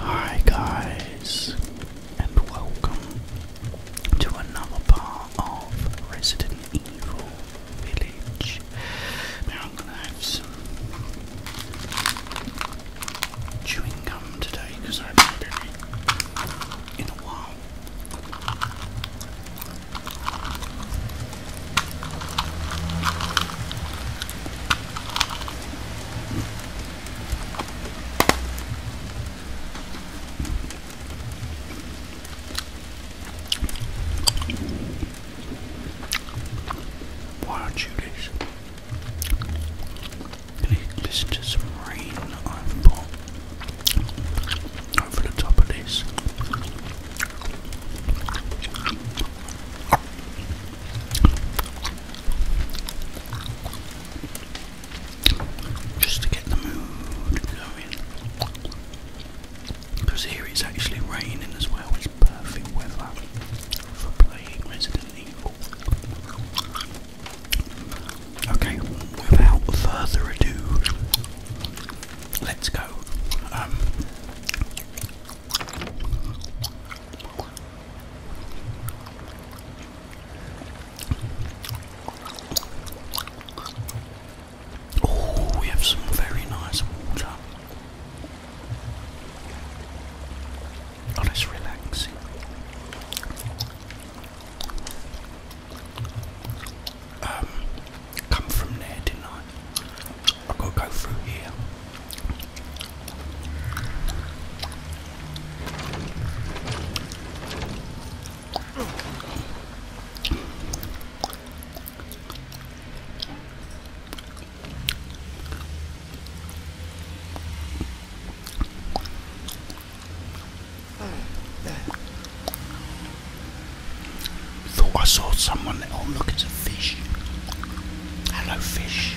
Hi guys, and welcome to another part of Resident Evil Village. Now I'm gonna have some chewing gum today because I have been done in a while. Why aren't you guys listen to some rain I've got over the top of this? Just to get the mood going. Because here it's actually raining as well, it's perfect weather for playing Resident Evil. Okay, without further ado, let's go. Um, Oh, we have some very nice water. Oh, that's relaxing. Um, come from there, didn't I? I gotta go through here. Thought I saw someone. Oh, look, it's a fish. Hello, fish.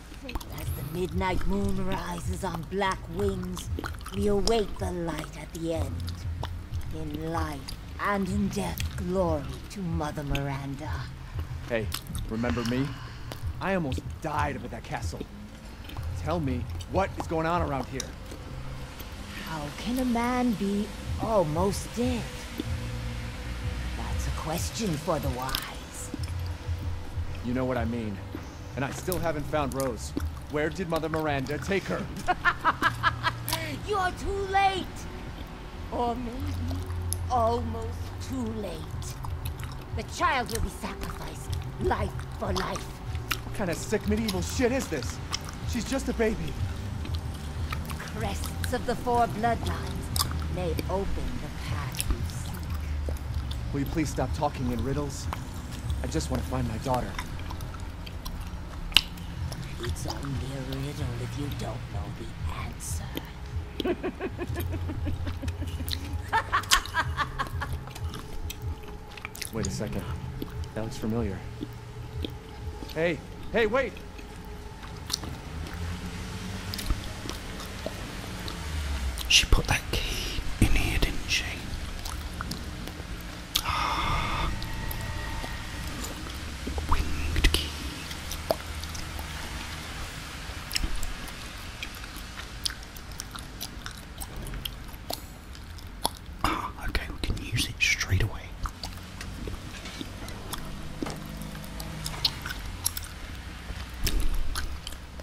As the midnight moon rises on black wings, we await the light at the end. In life and in death, glory to Mother Miranda. Hey, remember me? I almost died over that castle. Tell me, what is going on around here? How can a man be almost dead? That's a question for the wise. You know what I mean. And I still haven't found Rose. Where did Mother Miranda take her? You're too late. Or maybe almost too late. The child will be sacrificed, life for life. What kind of sick medieval shit is this? She's just a baby. Crests of the four bloodlines may open the. Will you please stop talking in riddles? I just want to find my daughter. It's only a riddle if you don't know the answer. wait a second. That looks familiar. Hey, hey, wait! She put that key in here, didn't she? Ah, winged key. Ah, okay, we can use it straight away.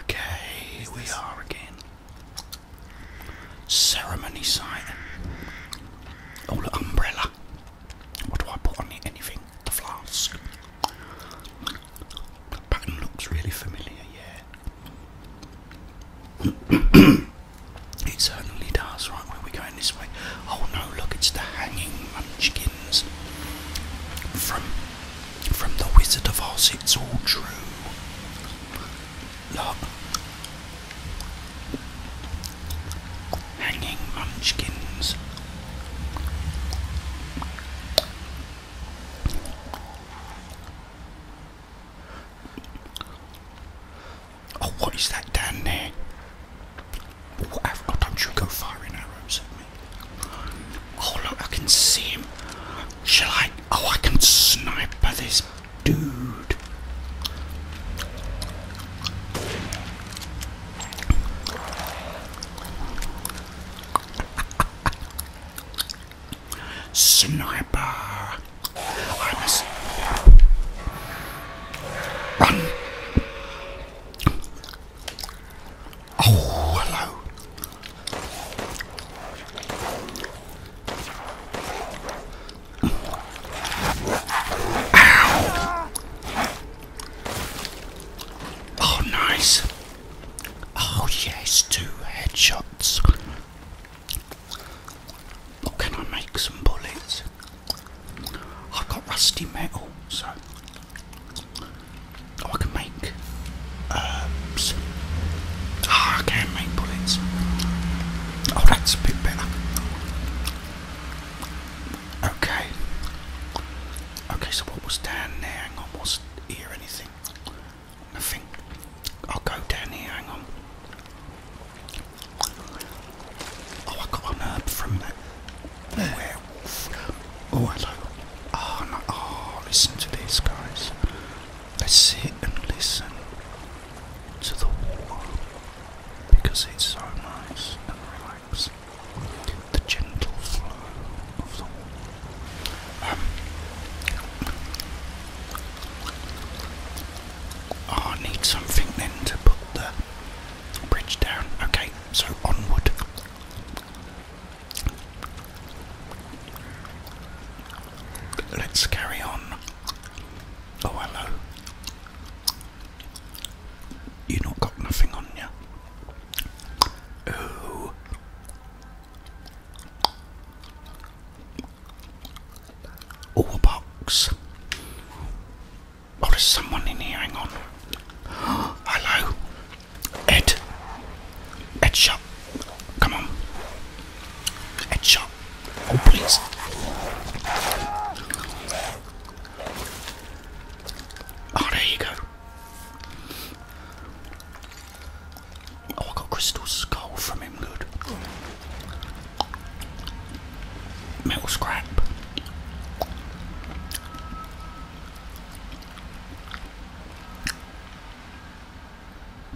Okay, we are again. Ceremony site. Oh, look, umbrella. What do I put on it? Anything? The flask. The pattern looks really familiar, yeah. it certainly does. Right, where are we going this way? Oh no, look, it's the hanging munchkin. From from the Wizard of Oz, it's all true. Look. Hanging munchkins. Oh, what is that down there? oh, don't you go firing arrows at me. Oh look, I can see him. Shall I? Oh, I can sniper this dude. Sniper. I run. Oh, hello. Oh, nice. Oh, yes, two headshots. But can I make some bullets? I've got rusty metal, so Oh, I can make. Uh, I can make bullets. Oh, that's a bit better. Okay. Okay, so what was down there? Hang on, was here anything? Nothing. I'll go down here, hang on. Oh, I got an herb from that. Where? Oh, hello. Oh, no. Ah, listen to this, guys. Let's sit and listen to the water because it's so nice and relaxing. The gentle flow of the water. Um, ah, I need something then to put the bridge down. Okay, so onward. Let's carry on. Oh, hello. You not got nothing on you. Oh. Oh, a box. Oh, there's someone in here. Hang on. Hello. Ed. Ed Shop. Come on. Ed Shop. Oh, please. Oh, there you go. Oh, I got crystal skull from him. Good. Metal scrap.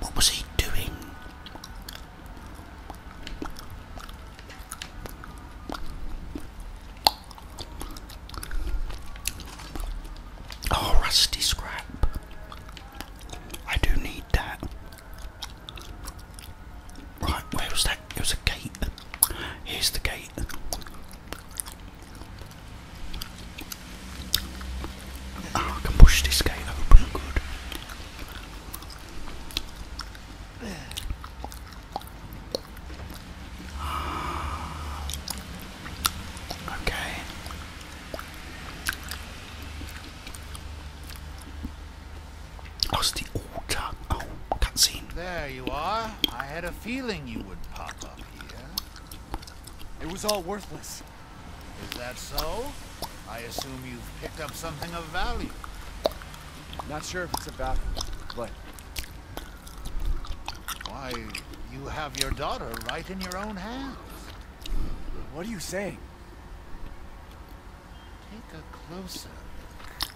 What was he doing? Oh, rusty scrap. I do need that. Right, where was that? It was a gate. Here's the gate. Oh, I can push this gate open good. Okay. Oh, the altar. Oh, cutscene. There you are. I had a feeling you would pop up. It was all worthless. Is that so? I assume you've picked up something of value. Not sure if it's of value, but... Why, you have your daughter right in your own hands. What are you saying? Take a closer look.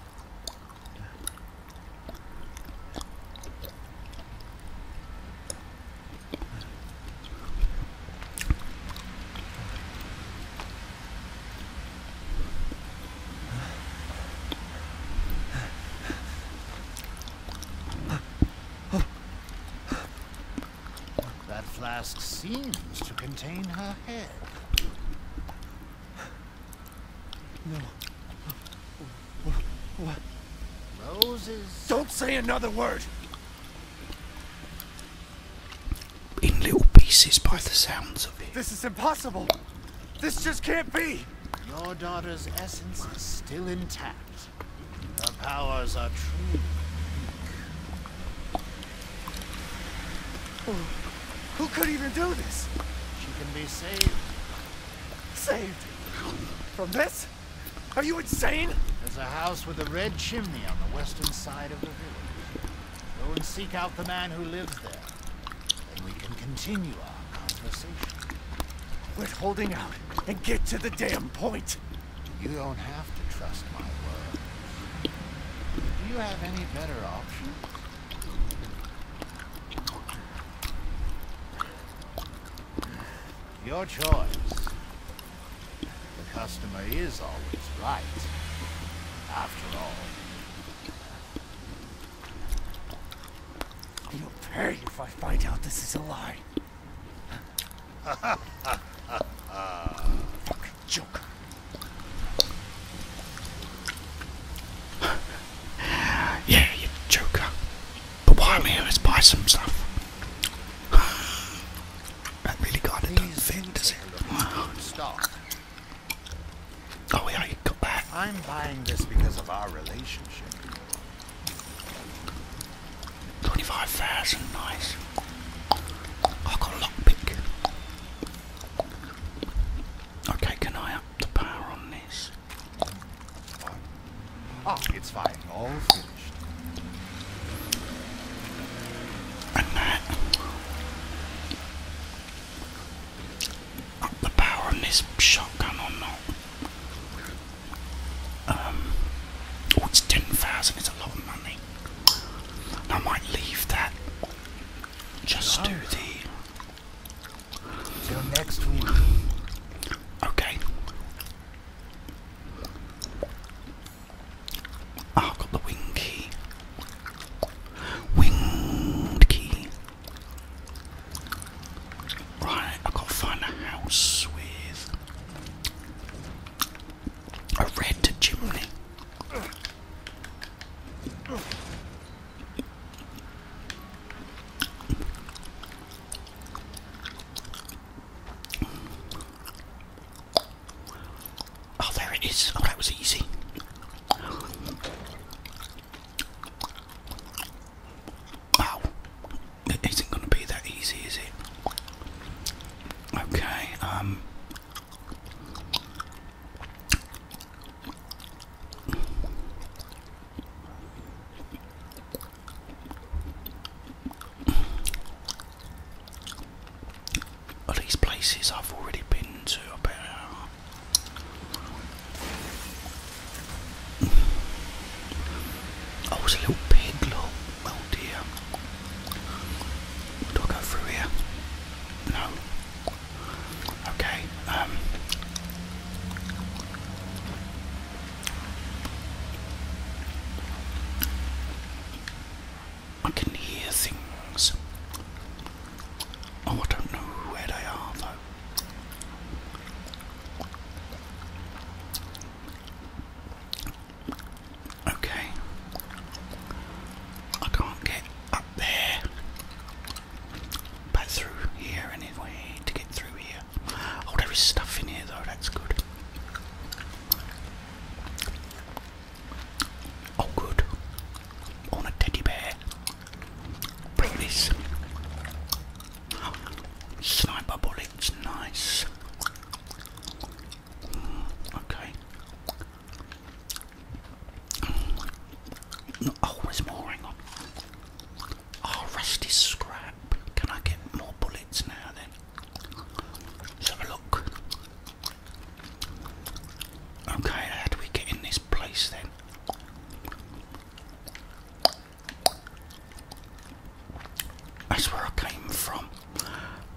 That flask seems to contain her head. No. What? Roses. Don't say another word. In little pieces by the sounds of it. This is impossible. This just can't be. Your daughter's essence is still intact. Her powers are true. Oh, who could even do this? She can be saved. Saved? From this? Are you insane? There's a house with a red chimney on the western side of the village. Go and seek out the man who lives there. Then we can continue our conversation. Quit holding out and get to the damn point. You don't have to trust my word. Do you have any better option? Your choice. The customer is always right. After all. You'll pay if I find out this is a lie. Fucking joke. yeah, you joker. But why I'm here is buy some stuff. that really kind of doesn't Wow. Oh yeah, you got that. I'm buying this because of our relationship. 25,000, nice. I've got a lockpick. Okay, can I up the power on this? Ah, it's fine. All finished. up the power on this shotgun or not? Um, oh, it's ten thousand. It's a lot of money. I might leave that. Just do the Till next week. Okay. i got the wing key. Winged key. Right, i got to find a house with a red chimney. Oh, there it is. Oh, that was easy. Wow, it isn't going to be that easy, is it? Okay, um. All these places I've already been to about. Oh, it's a little pig, look. Oh dear. Do I go through here? No. Okay, um. I can hear things. Oh, I don't know where they are though. Okay. I can't get up there. But through here anyway, to get through here. Oh, there is stuff in here though, that's good. Oh, good. On a teddy bear. Bring this. Sniper bullets, nice. Mm, okay. Mm. Oh, there's more, hang on. Oh, rusty scrap. Can I get more bullets now then? Let's have a look. Okay, how do we get in this place then? That's where I came from.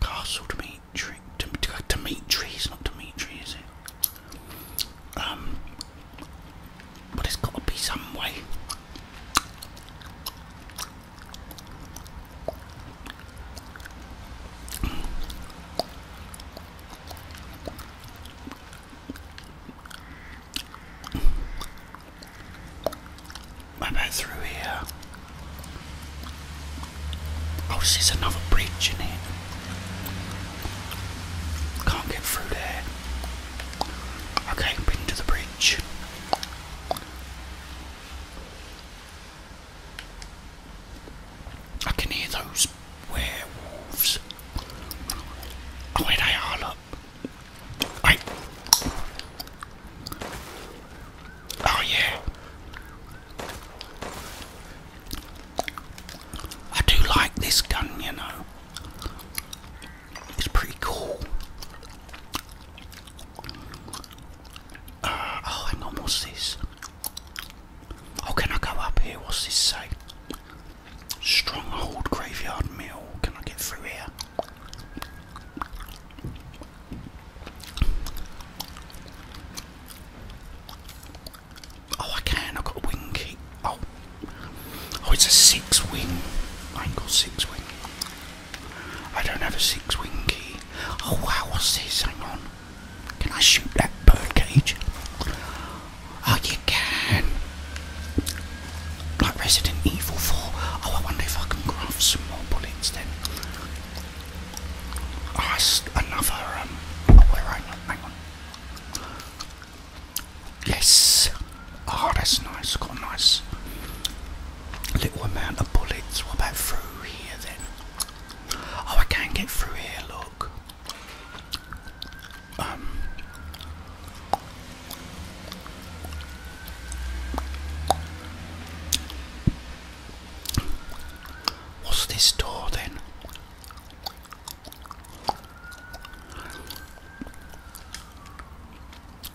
Castle Dimitri. Dimitri, not Dimitri, is it? Um, but it has got to be some way. What through here? Oh, there's another bridge in Can't get through there. Okay, bring the bridge. I can hear those werewolves. Oh, where they are, look. Wait. Oh, yeah. I do like this gun, you know. It's pretty cool. Uh, oh, hang on, what's this? Oh, can I go up here? What's this say? Stronghold Graveyard Mill. Can I get through here? Oh, I can. I've got a wing key. Oh, Oh, it's a six wing. I Mine got six wing. I don't have a six wing key. Oh wow, what's this? Hang on. Can I shoot that birdcage? Oh, you can. Like Resident Evil 4. Oh, I wonder if I can craft some more bullets then. Ah, another, um, hang on. Yes. Oh, that's nice. Got a nice little amount of bullets. What about through here then? Oh, I can get through here. Look. Um. What's this door then?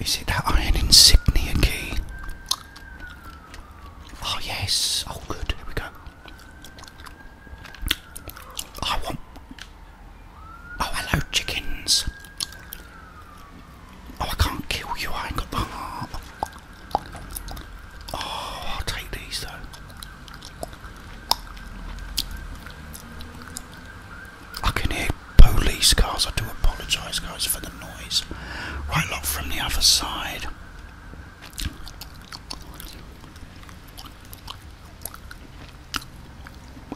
Is it that iron insignia key? Oh yes, oh good, here we go. I want. Oh hello, chickens. Oh, I can't kill you, I ain't got the heart. Oh, I'll take these though. I can hear police cars. I do apologise, guys, for the noise. Right, look from the other side.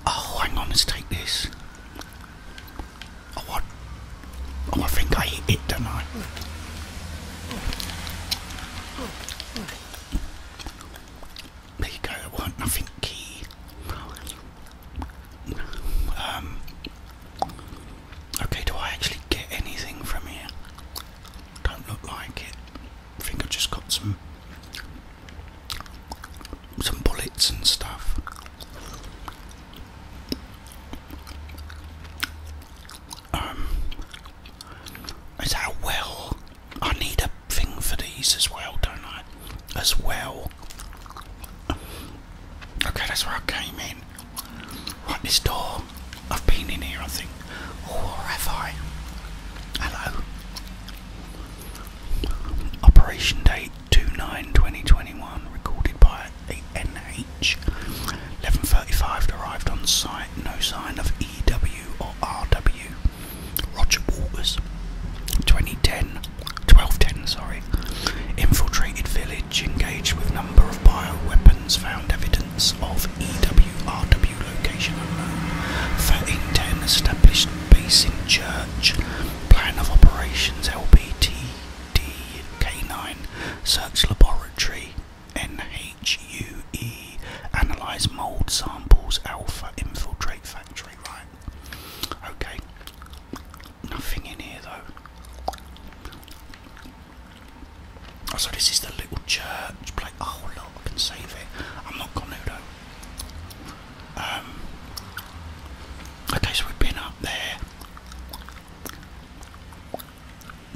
Oh, hang on, let's take this. Oh, what? Oh, I think I eat it, don't I? There you go, it weren't nothing key. Um, okay, do I actually get anything from here? Don't look like it. I think I just got some some bullets and stuff. Um, is that well? I need a thing for these as well, don't I? As well. Okay, that's where I came in. Right, this door. I've been in here, I think. Or oh, have I? Hello. Operation date 29 2021, recorded by NH. 11.35 arrived on site, no sign of EW or RW. Roger Waters, 2010, 1210, sorry, infiltrated village, engaged with number of weapons. found evidence of EWRW location unknown, ten, established base in church, plan of operations LBTD K9, search laboratory NHUE, analyze mold samples, alpha infiltrate factory, right? Okay, nothing in here though. Oh, so this is the little church Oh, look, I can save it. I'm not gonna though. Um, okay, so we've been up there.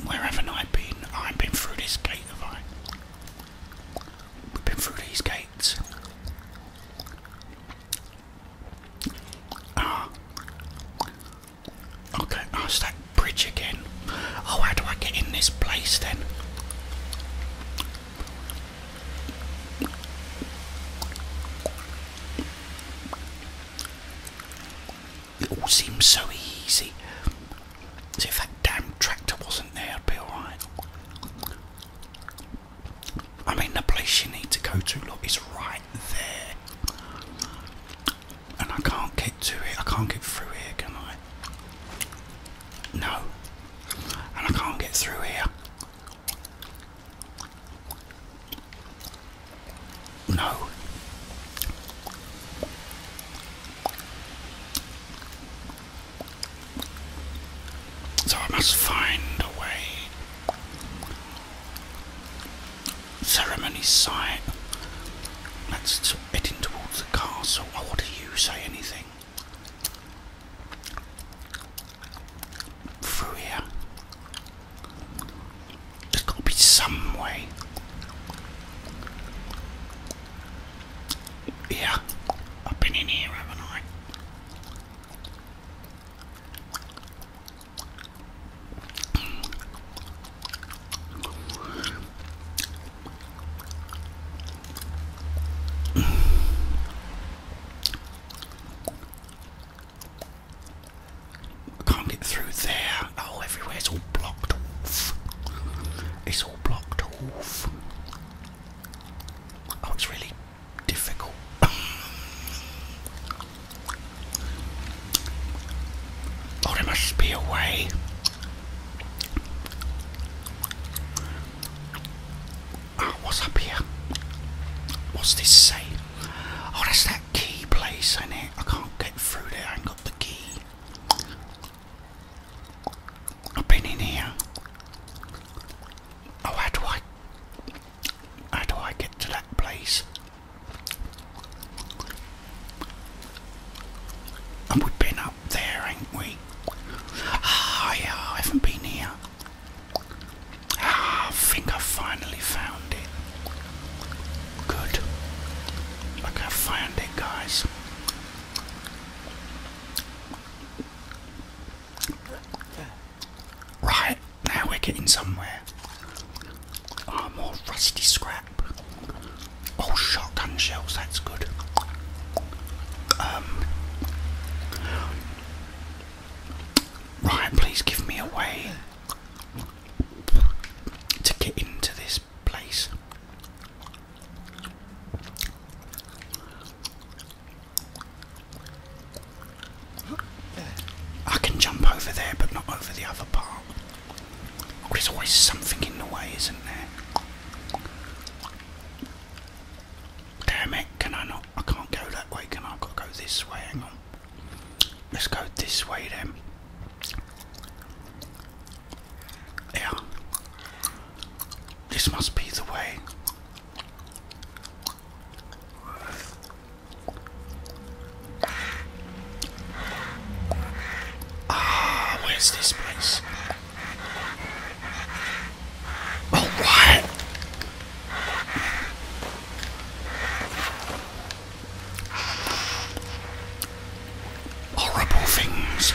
Where haven't I been? I have been through this gate, have I? We've been through these gates. Ah. Okay, it's that bridge again. Oh, how do I get in this place then? It all seems so easy. As if that damn tractor wasn't there, I'd be alright. I mean, the place you need to go to, look, is right there. And I can't get to it. I can't get through here, can I? No. And I can't get through here. No. So I must find a way. Ceremony site. Let's head in towards the castle. Oh, what do you say? Anything? Through There's got to be some way. Yeah, I've been in here, haven't I? I can't get through there. Oh, everywhere's all blocked off. It's all blocked off. Oh, it's really difficult. oh, there must be a way. Oh, what's up here? What's this say? Oh, that's that key place, isn't it? I can't get through there, I ain't got the key. I've been in here. Oh, how do I? How do I get to that place? And we've been up there, ain't we? Ah, yeah, I haven't been here. Ah, think I finally found it. Good. Look, I found it, guys. Right, now we're getting somewhere. more rusty scrap. Oh, shotgun shells, that's good. Um. Right, please give me a way to get into this place. I can jump over there, but not over the other part. There's always something in the way, isn't there? Damn it, can I not? I can't go that way, can I? go this way, hang on. Let's go this way then. Yeah. This must be the way. Ah, where's this place? Oh, what? Horrible things.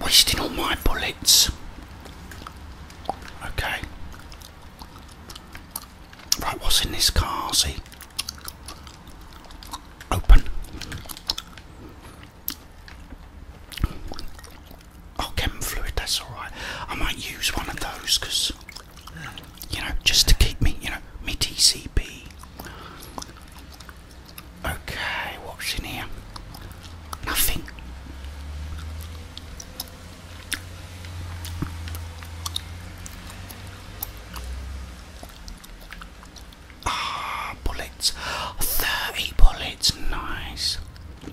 wasting all my bullets. Okay. Right, what's in this car? See? Open. Oh, chem fluid, that's alright. I might use one of those because, you know, just to keep me, you know, me TCP. Okay, what's in here? Nothing. Ah, bullets. 30 bullets, nice. On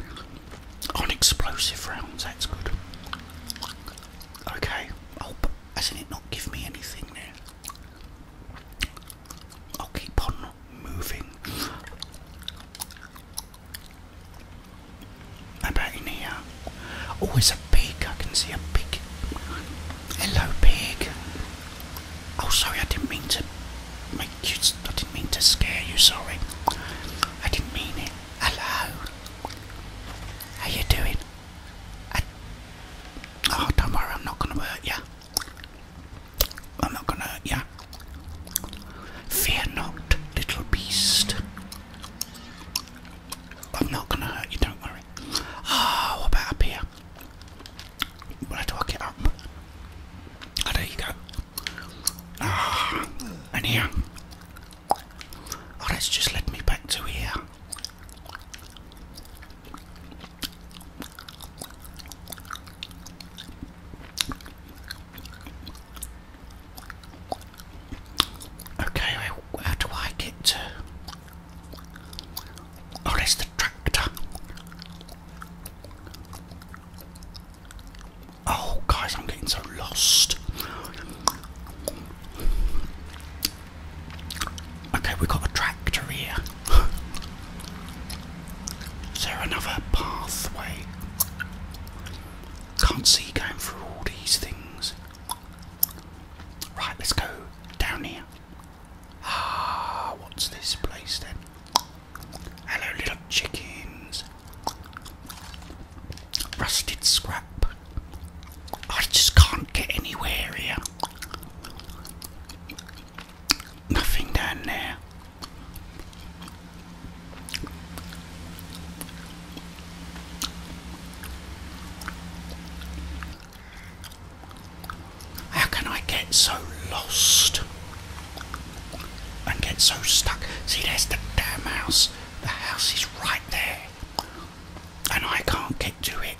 oh, explosive rounds, that's good. Okay, oh, hasn't it not give me anything I'll keep on moving. How about in here? Oh, it's a pig. I can see a pig. Hello, pig. Oh, sorry, I didn't mean to make you. I didn't mean to scare you. Sorry, I didn't mean it. Hello. How you doing? oh, don't worry. I'm not gonna hurt you. I'm not gonna, yeah. Fear not, little beast. I'm not gonna hurt you, don't worry. Ah, what about here? Where do I get up? Oh, there you go. Ah, and here. Oh, that's just led me back to here. Okay, how do I get Oh, there's the tractor. Oh, guys, I'm getting so lost. Okay, we got a tractor here. Is there another pathway? Can't see going through all these things. Right, let's go down here. Ah, what's this place then? Hello, little chickens. Rusted scrap. I just can't get anywhere here. Nothing down there. How can I get so lost and get so stuck? See, there's the damn house. The house is right there, and I can't get to it.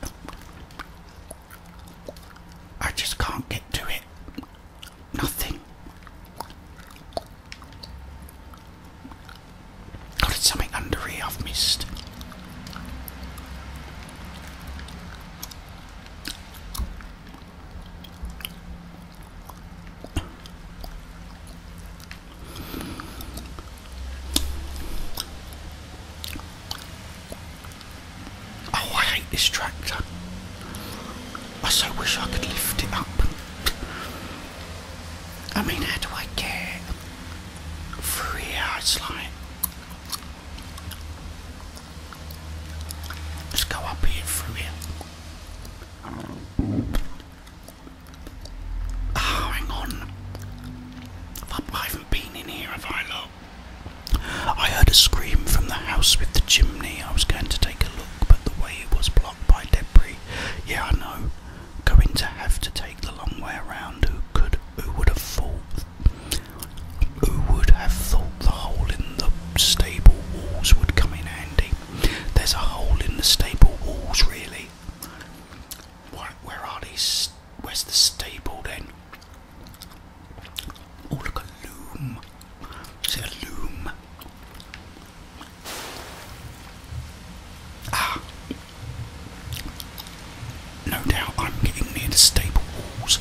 I just can't get to it. Nothing. Got something under here I've missed. Oh, I hate this tractor. I so wish I could lift it up. I mean, how do I get through here? It's like. let go up here through here. Oh, hang on. I haven't been in here, have I, I heard a scream from the house with the chimney. I was going to take a look but the way it was blocked by debris. Yeah, I know. Going to have to take the long way around. Who could? Who would have thought? Who would have thought the hole in the stable walls would come in handy? There's a hole in the stable walls, really. Where, are these? Where's the stable then? Oh, look, a loom loom. Ah. No doubt I'm getting near the stable walls.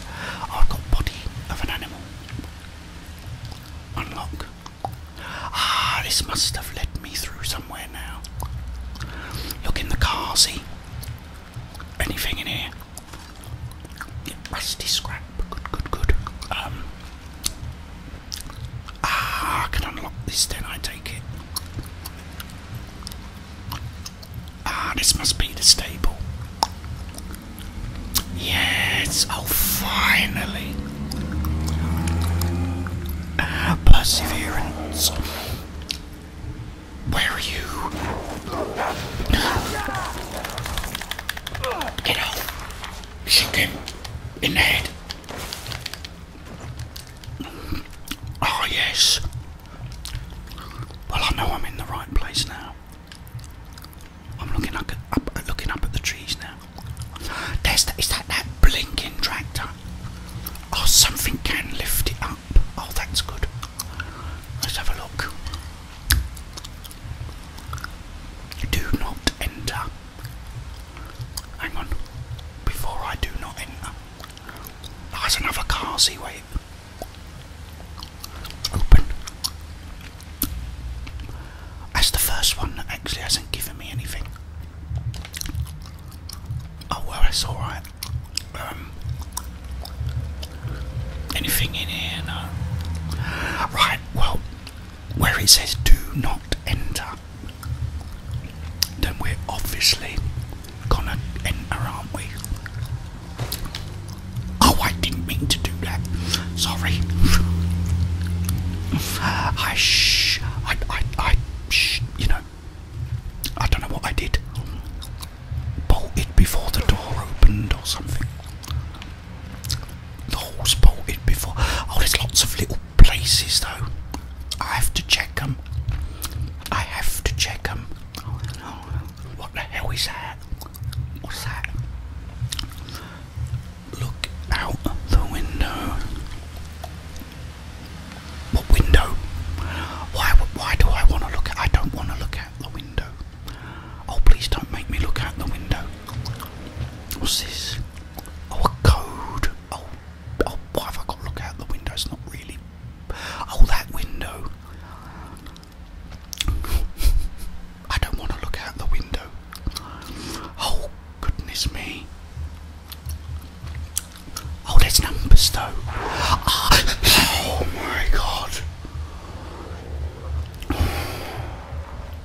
I've got body of an animal. Unlock. Ah, this must have led me through somewhere now. Look in the car, see? Anything in here? Rusty scrap. Good, good, good. Um, ah, can unlock this then, I take it. Ah, this must be the stable. Yes, oh, finally. Ah, perseverance. Where are you? Get off shoot him in the head. Oh, yes. Well, I know I'm in the right place now. I'm looking up, at the trees now. There's that, is that that blinking tractor? Oh, something can lift it up. Oh, that's good. Let's have a look. Do not enter. Hang on. Before I do not enter. That's another car, see, wait. Open. That's the first one that actually hasn't given me anything. Oh, well, that's alright. Um, anything in here? Right, well, where it says do not enter, then we're obviously gonna enter, aren't we? Oh, I didn't mean to do that. Sorry. I sh. I. I. I sh. You know. I don't know what I did. Bolted before the door opened or something the hole's bolted before. Oh, there's lots of little places though. I have to check them. I have to check them. What the hell is that? What's that? Look out the window. What window? Why? Why do I want to look I don't want to look out the window. Oh, please don't make me look out the window. What's this? Oh, a code. Oh, oh, why have I got to look out the window? It's not really. Oh, that window. I don't want to look out the window. Oh, goodness me. Oh, there's numbers though. Ah, oh my god.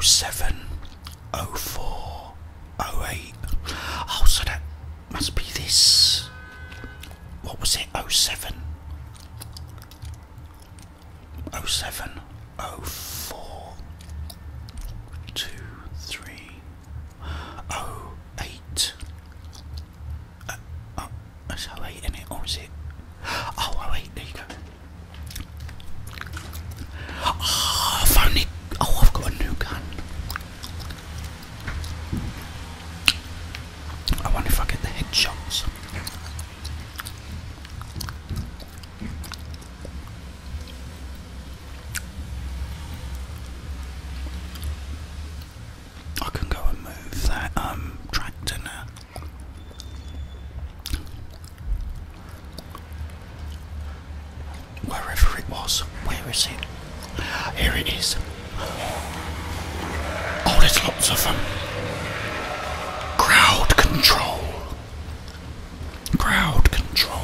07, 04, 08. Oh, so that must be this. What was it? 07, 07, 04, 2, 3, 08. Uh, uh, Oh how eight in it, or it? Oh, wait, there you go. Ah, I've only. Oh, I've got a new gun. I wonder if I get the headshots. I can go and move that um tractor now. Wherever it was, where is it? Here it is. Oh, there's lots of them. Crowd control. Crowd control.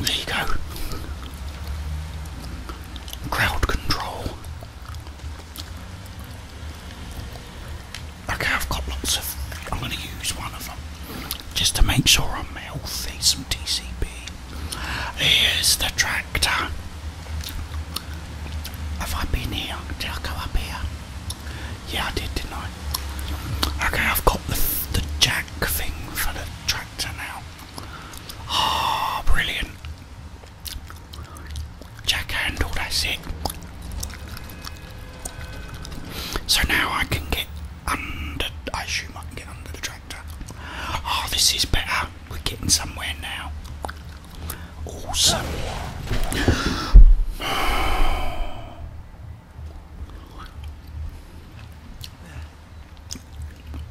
There you go. Crowd control. Okay, I've got lots of. I'm going to use one of them just to make sure I'm healthy. Some TCB. Here's the train actor. Have I been here? Did I go up here? Yeah, I did, tonight. Okay, I've got the, the jack thing for the tractor now. Ah, oh, brilliant. Jack handle, that's it. So now I can get under, I assume I can get under the tractor. Oh, this is better. We're getting somewhere now. Awesome.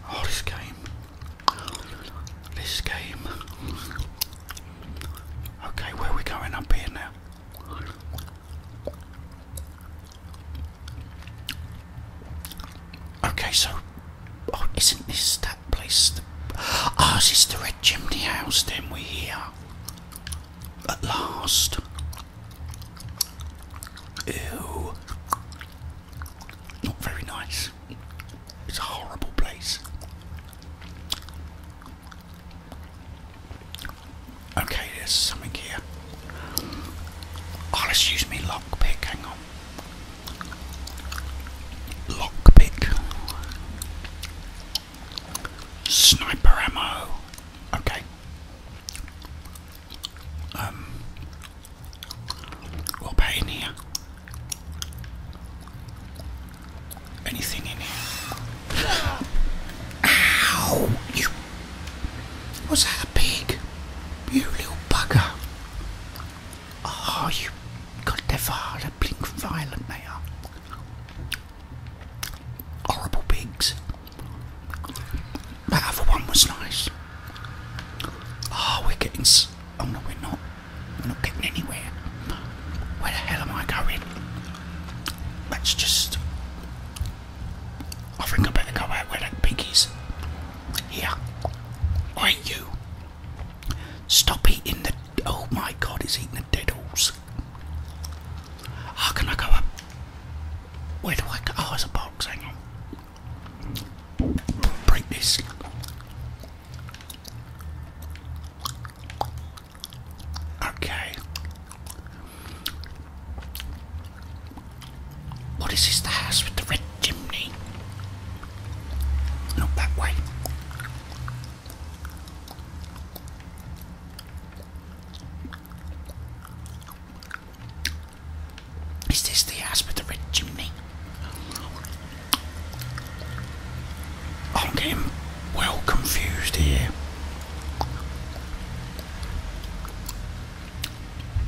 Oh, this game. This game. Okay, where we going up here now? Okay, so, oh, isn't this place? The, ours is the Red Chimney House, then we hear. At last. Ew. Not very nice. It's a horrible place. Okay, there's something here. Oh, let's use me lockpick, hang on. Lockpick. Sniper ammo. Okay. Um we in here. Anything in here? Ow! You was that pig? You little bugger! Oh, you got blink violent they are. Horrible pigs. That other one was nice. Oh, we're getting. oh no, we're not. We're not getting anywhere. Where the hell am I going? Let's just. I think I better go out where that pig is. Here. Why you? Stop eating the. Oh my god, He's eating the diddles. How can I go up? Where do I go? Oh, it's a box, hang on. Break this. Okay. What is this? The house with the red chimney? Not that way. Is this the house with the red chimney? I'm getting well confused here.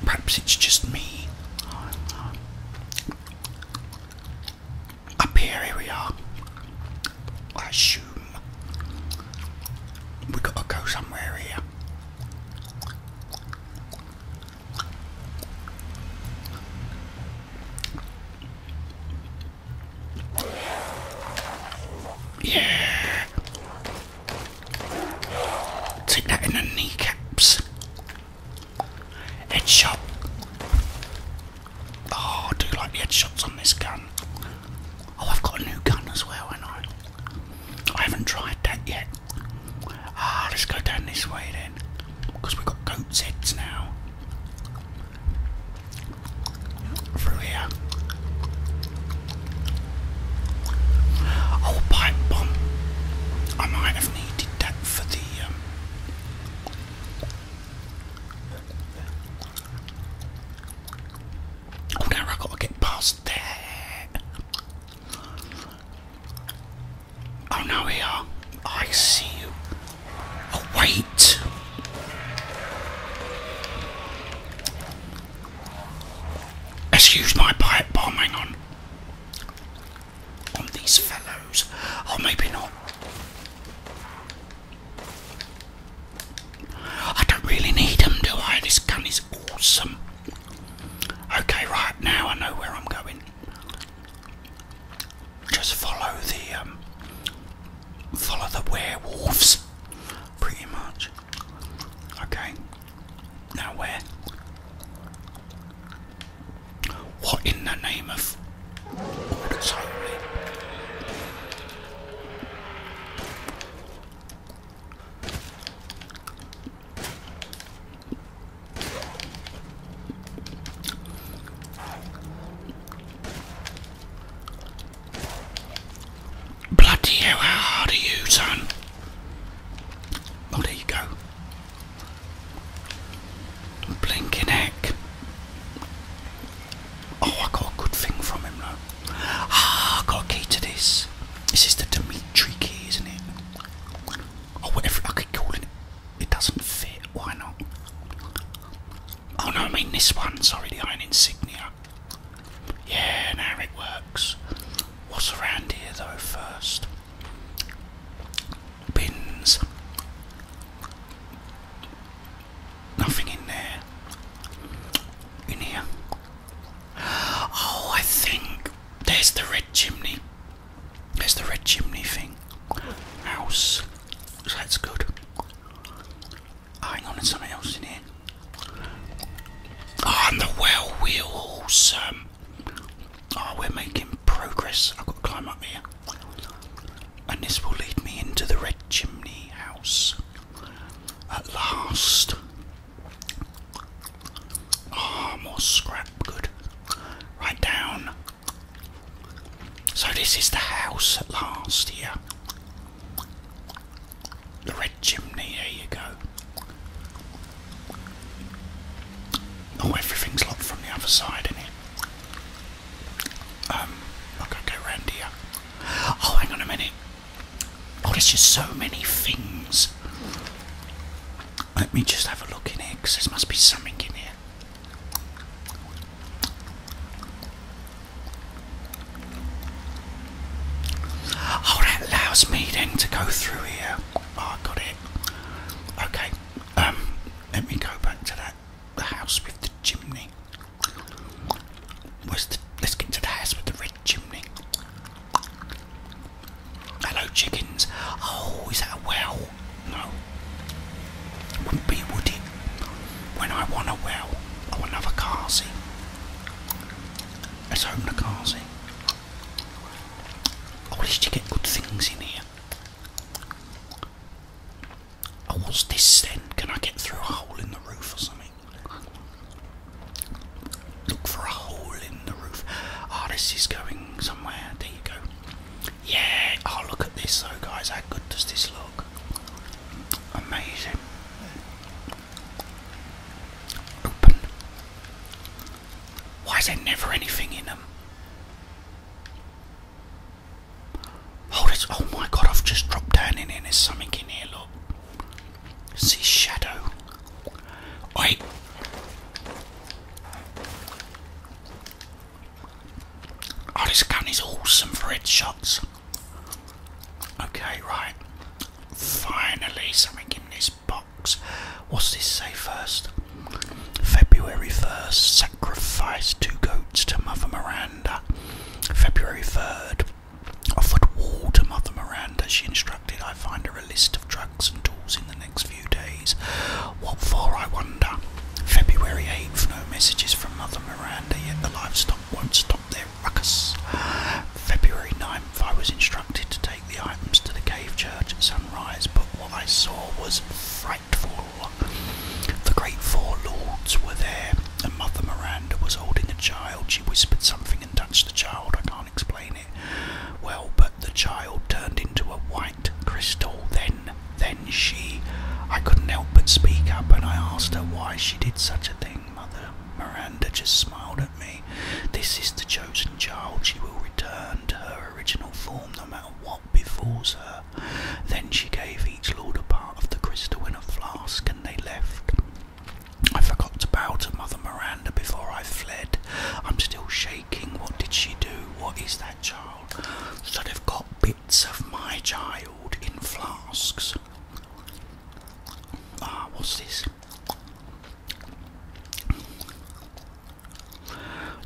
Perhaps it's just me up here, here we are. I assume we gotta go somewhere here. Yeah. Take that in the kneecaps. Headshot. Oh, I do like headshots on this gun? Oh, I've got a new gun as well, and I I haven't tried that yet. Ah, let's go down this way then, because we've got goat's heads now. Through here. Oh, pipe bomb. I might have needed that for the um, Oh, now i got to get past that. Oh, no, we are. I see you. wait. Excuse my pipe bombing on. On these fellows. or oh, maybe not. I don't really need them, do I? This gun is awesome. Okay, right now I know where I'm going. Just follow the um, follow the werewolves, pretty much. Okay, now where? What in the name of Lord holy? Bloody hell, how hard are you, son? Oh, there you go. Blinking heck. Oh, I got a good thing from him now. Ah, I got a key to this. This is the Dimitri key, isn't it? oh, whatever I could call it. It doesn't fit, why not? Oh no, I mean this one, sorry, the Iron Insignia. Yeah, now it works. What's around here though first? bins. Nothing in there. In here. Oh, I think there's the red chimney. There's the red chimney thing. House. that's good. Oh, hang on, there's something else in here. Oh, and the well wheels. Um, oh, we're making progress. I've got to climb up here and this will lead me into the red chimney house at last. Ah, more scrap good. Right down. So, this is the house at last here. The red chimney, there you go. Oh, everything's locked from the other side, isn't it? I've got to go round here. Oh, hang on a minute. Oh, there's just so many things. Let me just have a look in here, because there must be something in here. Oh, that allows me then to go through here. Oh, I got it. Okay, um, let me go back to that the house with the chimney. let's get to the house with the red chimney. Hello, chickens. Oh, is that a well? No. wouldn't be, would it? When I want a well, I want another car seat. Let's open the car seat. Oh, at least you get good things in here. Oh, what's this then? Can I get through a hole in the roof or something? Look for a hole in the roof. Ah, oh, this is going somewhere. There you go. Yeah. Oh, look at this though, guys. How good does this look? Amazing. Open. Why is there never anything in them? Hold it. Oh my god, I've just dropped down in here. There's something in here, look. See shadow. Wait. Oh, this gun is awesome for headshots. Okay, right. Finally, something in this box. What's this say first? February 1st, sacrificed two goats to Mother Miranda. February 3rd, offered wool to Mother Miranda. She instructed I find her a list of drugs and tools in the next few days. What for, I wonder? February 8th, no messages from Mother Miranda, yet the livestock won't stop their ruckus. February 9th, I was instructed to take the items to the cave church at sunrise, but what I saw was the great four lords were there, and Mother Miranda was holding a child. She whispered something and touched the child. I can't explain it well, but the child turned into a white crystal. Then, then she. I couldn't help but speak up, and I asked her why she did such a thing. Mother Miranda just smiled at me. This is the chosen child. She will return to her original form no matter what what befalls her. Then she gave each lord a part of the crystal in a flask, and they left. I forgot to bow to Mother Miranda before I fled. I'm still shaking. What did she do? What is that child? Should have got bits of my child in flasks. Ah, what's this?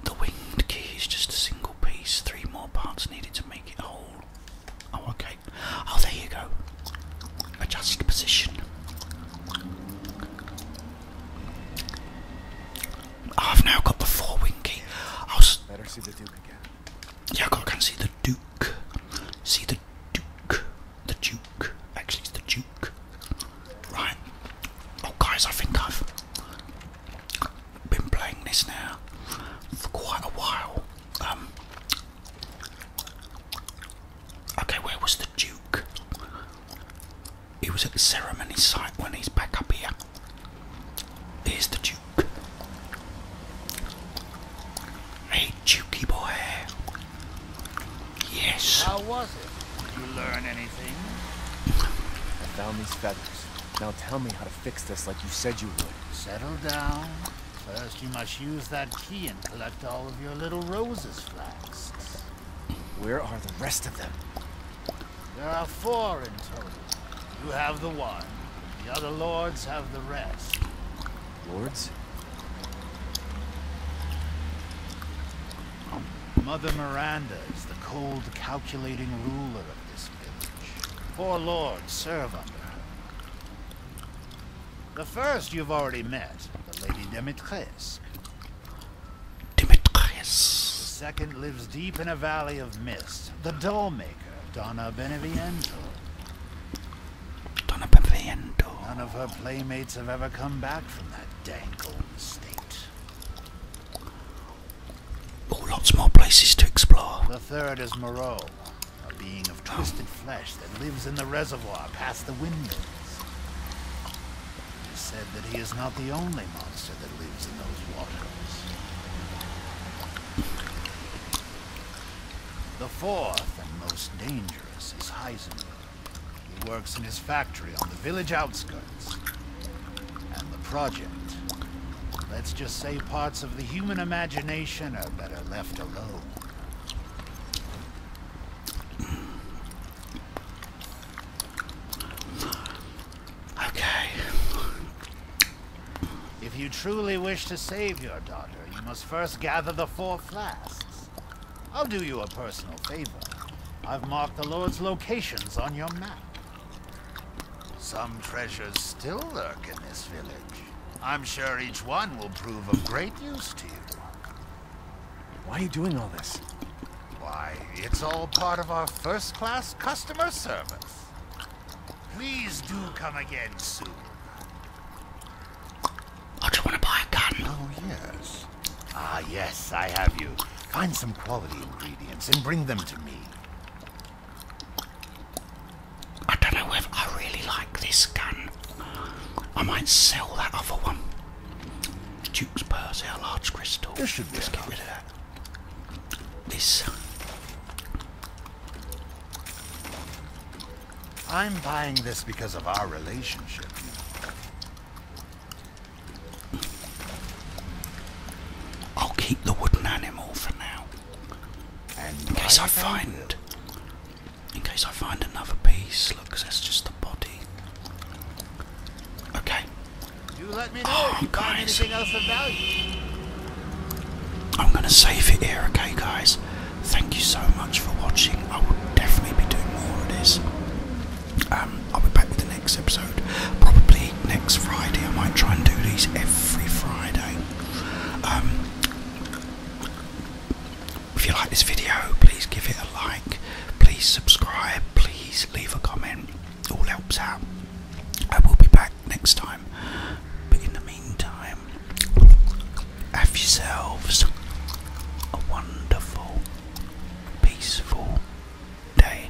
The winged key is just a single piece. Three more parts needed to make it whole. Oh, okay. Oh, there you go. Adjust position. Oh, I've now got the four winky. I'll oh, better see the Duke again. Yeah, I can see the Duke. See the Duke. The Duke. Actually, it's the Duke. Right. Oh, guys, I think I've been playing this now for quite a while. Um, okay, where was the Duke? He was at the ceremony site when he's back up here. Here's the Duke. Hey, Dukey boy. Yes. How was it? you learn anything? I found these feathers. Now tell me how. to how to fix this like you said you would. Settle down. First, you must use that key and collect all of your little roses flasks. Where are the rest of them? There are four in total. You have the one. The other lords have the rest. Lords? Mother Miranda is the cold, calculating ruler of this Christ, poor Lord's her. The first you've already met, the Lady Demetres. Demetres. The second lives deep in a valley of mist, the dollmaker, Donna Beneviento. Donna Beneviento. None of her playmates have ever come back from that dank old estate. Oh, lots more places to explore. The third is Moreau, a being of twisted flesh that lives in the reservoir past the windmills. It is said that he is not the only monster that lives in those waters. The fourth and most dangerous is Heisenberg. He works in his factory on the village outskirts. And the project Let's just say parts of the human imagination are better left alone. Okay. If you truly wish to save your daughter, you must first gather the four flasks. I'll do you a personal favor. I've marked the Lord's locations on your map. Some treasures still lurk in this village. I'm sure each one will prove of great use to you. Why are you doing all this? Why, it's all part of our first-class customer service. Please do come again soon. Oh, do you want to buy a gun? Oh, yes. Ah, yes, I have you. Find some quality ingredients and bring them to me. I don't know if I really like this gun. I might sell that other one. Duke's Persia, large crystal. This should just get rid of that. This. I'm buying this because of our relationship. I'll keep the wooden animal for now. In case I find, in case I find another piece, look, that's just the body. Okay. You let me know oh, guys. I'm gonna save it here, okay, guys. Thank you so much for watching. I will definitely be doing more of this. Um, I'll be back with the next episode. Probably next Friday. I might try and do these every Friday. Um, if you like this video, please give it a like, please subscribe, please leave a comment, all helps out. I will be back next time, but in the meantime, have yourselves a wonderful, peaceful day.